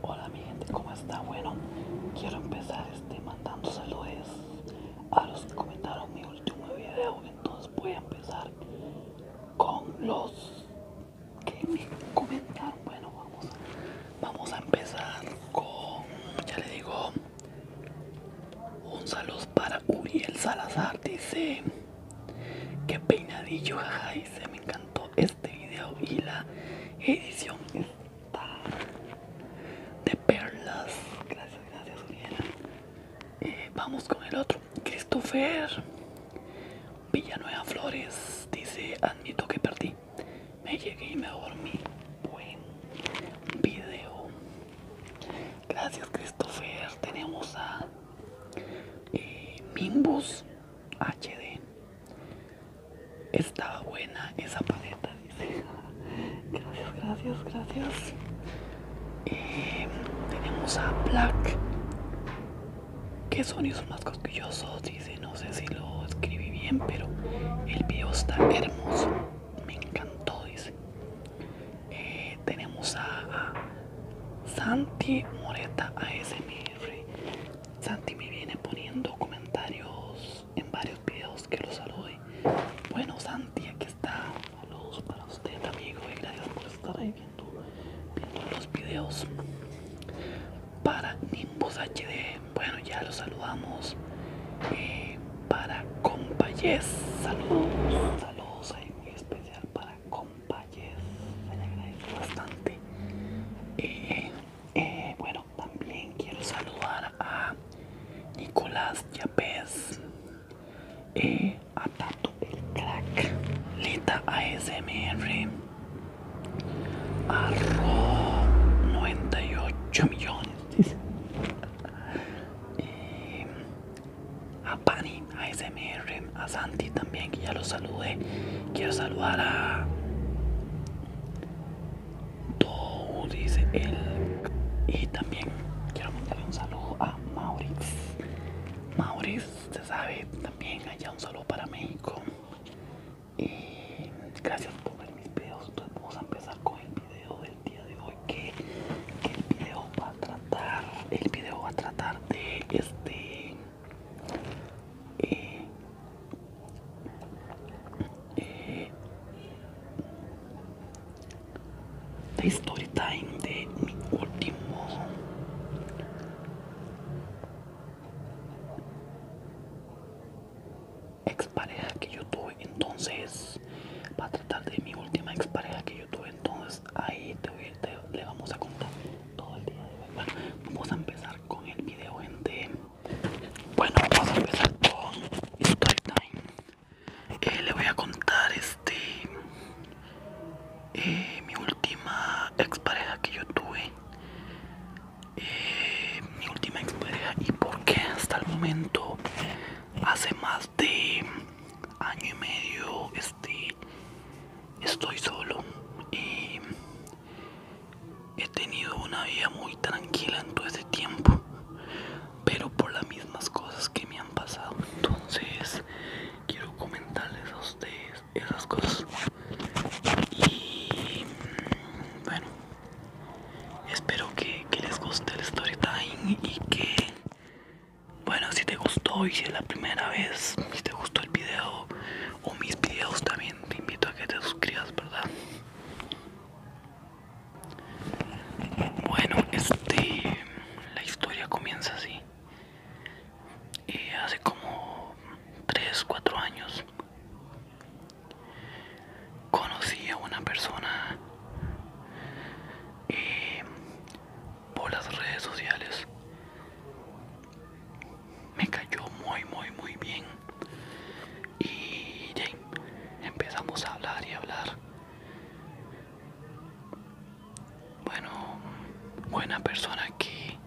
Hola mi gente, ¿cómo está? Bueno, quiero empezar este mandando saludos a los que comentaron mi último video. Entonces voy a empezar con los que me comentaron. Bueno, vamos, a empezar con, ya le digo, un saludo para Uriel Salazar. Dice, que peinadillo, jaja, dice, me encantó este video y la edición está de perlas. Gracias, gracias, eh, vamos con el otro. Christopher Villanueva Flores dice: Admito que perdí. Me llegué y me dormí. Buen video. Gracias, Christopher. Tenemos a Mimbus eh, HD. Estaba buena esa paleta, dice. Gracias, gracias, gracias. Eh, tenemos a Black. ¿Qué sonidos más cosquillosos? Dice, no sé si lo escribí bien, pero el video está hermoso. Me encantó, dice. Eh, tenemos a, Santi Moreta a ASMR. Santi me viene poniendo comentarios en varios videos que los salude. Bueno, Santi, aquí está. Saludos para usted, amigo, y gracias por estar ahí viendo, viendo los videos. Para Nimbus HD, bueno, ya los saludamos. Eh, para Compayes, saludos, saludos ahí muy especial para Compayes. Se le agradece bastante. Eh, eh, bueno, también quiero saludar a Nicolás Yapes, eh, a Tato el Crack, Lita ASMR, a 98 millones, eh, a Pani ASMR, a Santi también, que ya lo saludé. Quiero saludar a dice él. Y también quiero mandarle un saludo a Mauriz. Mauriz, se sabe, también allá un saludo para México. Y gracias por ver mis videos. Entonces vamos a empezar con el video del día de hoy. Que, que el video va a tratar. El video va a tratar de este y, historia de story time de mi último expareja que yo tuve entonces para tratar de mi última pareja que yo tuve entonces ahí te, voy, le vamos a contar todo el día de hoy bueno vamos a empezar con el video gente bueno, vamos a empezar con Storytime. Eh, le voy a contar este eh, mi última expareja que yo tuve. Eh, mi última pareja y por qué hasta el momento hace más de año y medio este estoy solo He tenido una vida muy tranquila en todo este tiempo, pero por las mismas cosas que me han pasado. Entonces, quiero comentarles a ustedes esas cosas. Y bueno, espero que, que les guste el story y que, bueno, si te gustó y si es la primera vez, si te gustó el video o mis videos también te invito a que te suscribas, ¿verdad? Bueno, este, la historia comienza así. Y eh, hace como 3, 4 años conocí a una persona eh, por las redes sociales me cayó muy muy muy bien y empezamos a hablar y hablar bueno buena persona que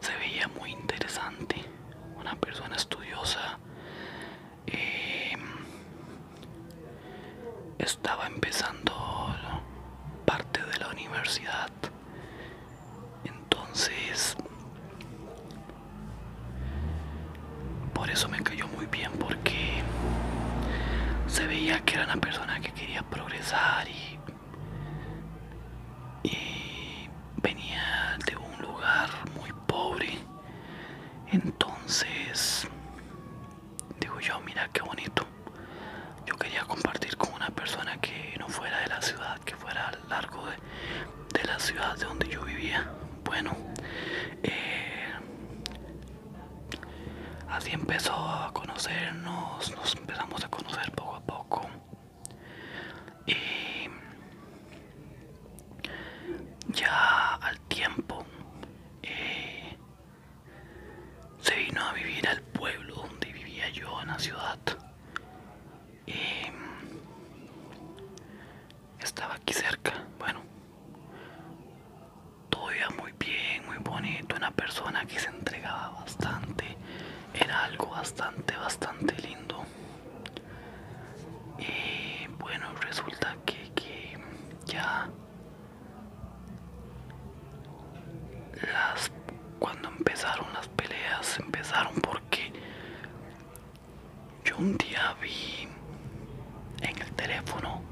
se veía muy interesante una persona estudiosa em, estaba empezando parte de la universidad entonces, por eso me cayó muy bien, porque se veía que era una persona que quería progresar y, venía de un lugar muy pobre. Entonces, digo yo, mira qué bonito. Yo quería compartir con una persona que no fuera de la ciudad, que fuera largo de, la ciudad de donde yo vivía. Bueno, eh, así empezó a conocernos, nos empezamos a conocer poco a poco. Y ya al tiempo eh, se vino a vivir al pueblo donde vivía yo en la ciudad y em, estaba aquí cerca bueno todo iba muy bien muy bonito una persona que se entregaba bastante era algo bastante bastante lindo y bueno resulta que, ya cuando empezaron las peleas empezaron por que yo un día vi en el teléfono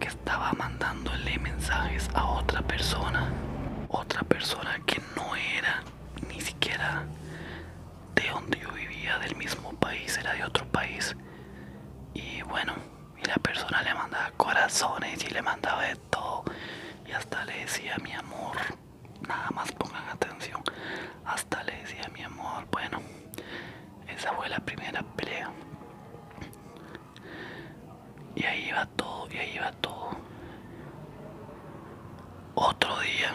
que estaba mandándole mensajes a otra persona, otra persona que no era ni siquiera de donde yo vivía, del mismo país, era de otro país. Y bueno, y la persona le mandaba corazones y le mandaba de todo. Y hasta le decía mi amor nada más pongan atención hasta le decía mi amor bueno esa fue la primera pelea y ahí va todo y ahí va todo otro día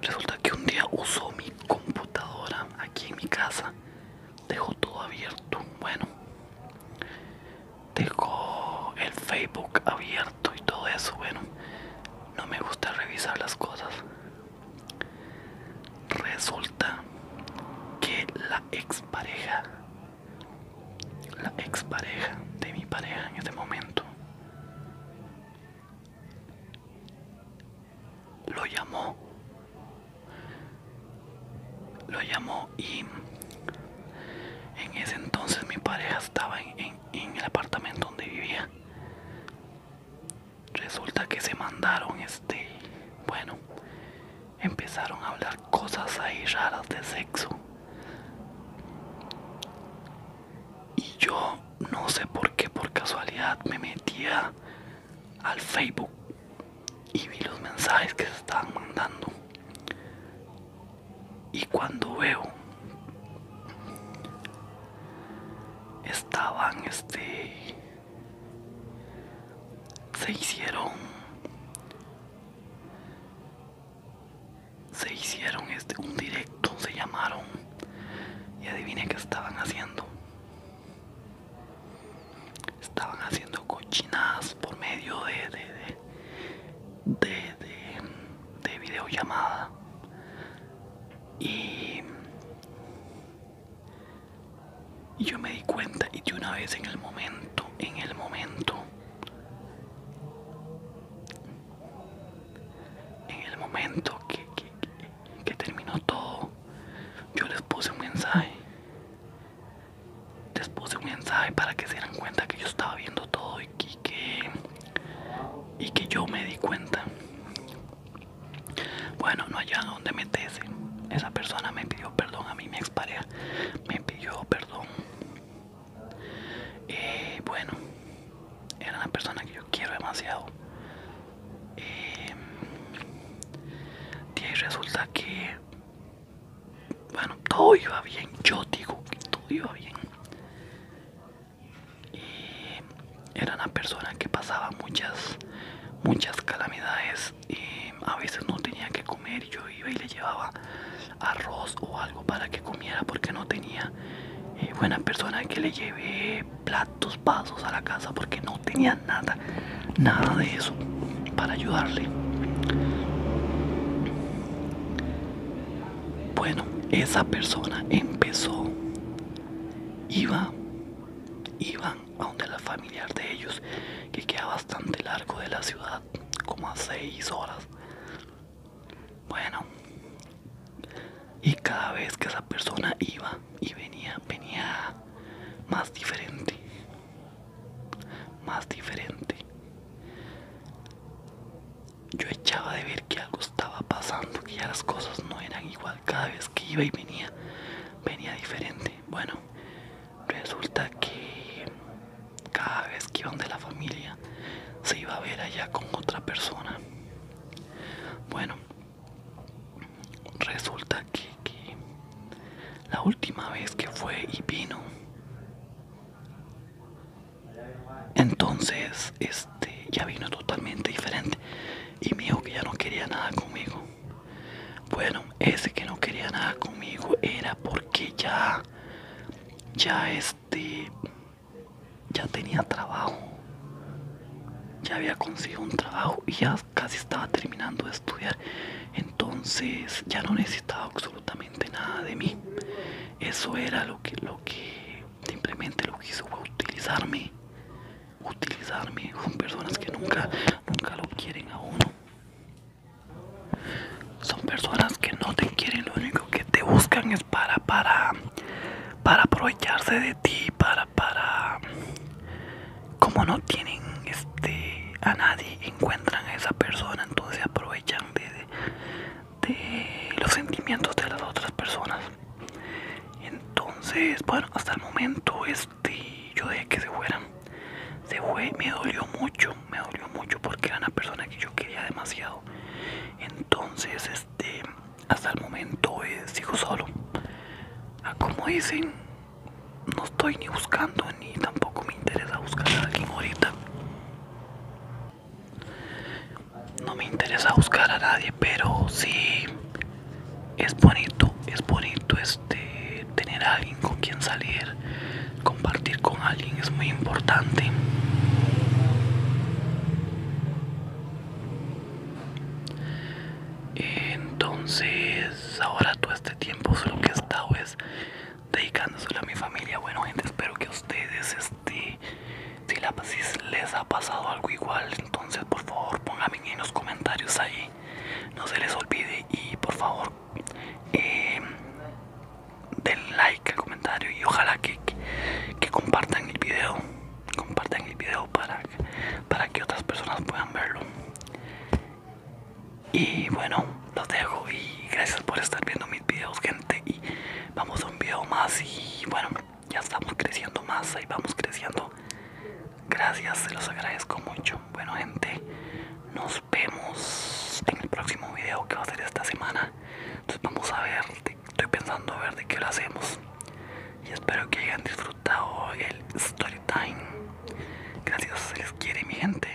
resulta que un día usó mi computadora aquí en mi casa dejó todo abierto bueno Dejo el Facebook abierto y todo eso. Bueno, no me gusta revisar las cosas. Resulta que la expareja, la expareja de mi pareja en este momento, lo llamó, lo llamó y en ese entonces mi pareja estaba en, el apartamento donde vivía. Resulta que se mandaron este, bueno, empezaron a hablar cosas ahí raras de sexo. Y yo no sé por qué, por casualidad, me metía al Facebook y vi los mensajes que se estaban mandando y cuando veo estaban este se hicieron se hicieron este un directo se llamaron y adivine que estaban haciendo estaban haciendo cochinadas por medio de, de de, de, videollamada y, y yo me di cuenta y de una vez en el momento, en el momento, en el momento que, que, terminó todo, yo les puse un mensaje. Les puse un mensaje para que se dieran cuenta que yo estaba viendo todo y que, que y que yo me di cuenta bueno no allá donde meterse esa persona me pidió perdón a mí mi expareja me pidió perdón Y eh, bueno era una persona que yo quiero demasiado y eh, resulta que bueno, todo iba bien, yo digo que todo iba bien. era una persona que pasaba muchas, muchas calamidades y a veces no tenía que comer. Yo iba y le llevaba arroz o algo para que comiera porque no tenía eh, buena persona que le lleve platos, vasos a la casa porque no tenía nada, nada de eso para ayudarle. Bueno, esa persona empezó, iba, iban a donde la familiar de ellos, que queda bastante largo de la ciudad, como a seis horas. Bueno, y cada vez que esa persona iba y venía, venía más diferente, más diferente. Yo echaba de ver que algo estaba pasando, que ya las cosas no eran igual cada vez que iba y venía, venía diferente. Bueno, resulta que cada vez que iban de la familia se iba a ver allá con otra persona. Bueno, resulta que, la última vez que fue y vino entonces, este, ya vino totalmente diferente. Y mi dijo que ya no quería nada conmigo. Bueno, ese que no quería nada conmigo era porque ya, ya este, ya tenía trabajo. Ya había conseguido un trabajo y ya casi estaba terminando de estudiar. Entonces, ya no necesitaba absolutamente nada de mí. Eso era lo que, lo que simplemente lo que hizo fue utilizarme. Utilizarme son personas que nunca, nunca lo quieren a uno. Son personas que no te quieren, lo único que te buscan es para, para, para aprovecharse de ti, para, para, como no tienen este a nadie encuentran a esa persona entonces aprovechan de, de los sentimientos de las otras personas entonces bueno hasta el momento este yo dejé que se fueran se fue me dolió mucho me dolió mucho porque era una persona que yo quería demasiado entonces este hasta el momento eh, sigo solo ah, como dicen no estoy ni buscando ni tampoco me interesa buscar a alguien ahorita no me interesa buscar a nadie, pero sí es bonito, es bonito este tener a alguien con quien salir, compartir con alguien es muy importante. Entonces, ahora todo este tiempo solo que he estado es dedicándoselo a mi familia. Bueno, gente, espero que a ustedes, este, si, les ha pasado algo igual, entonces por favor pónganme en los comentarios ahí. No se les olvide y por favor eh, den like al comentario y ojalá que, compartan el video. Compartan el video para, para que otras personas puedan verlo. Y bueno los dejo y gracias por estar viendo mis videos gente y vamos a un video más y bueno ya estamos creciendo más ahí vamos creciendo gracias se los agradezco mucho bueno gente nos vemos en el próximo video que va a ser esta semana entonces vamos a ver estoy pensando a ver de qué lo hacemos y espero que hayan disfrutado el story time gracias se les quiere mi gente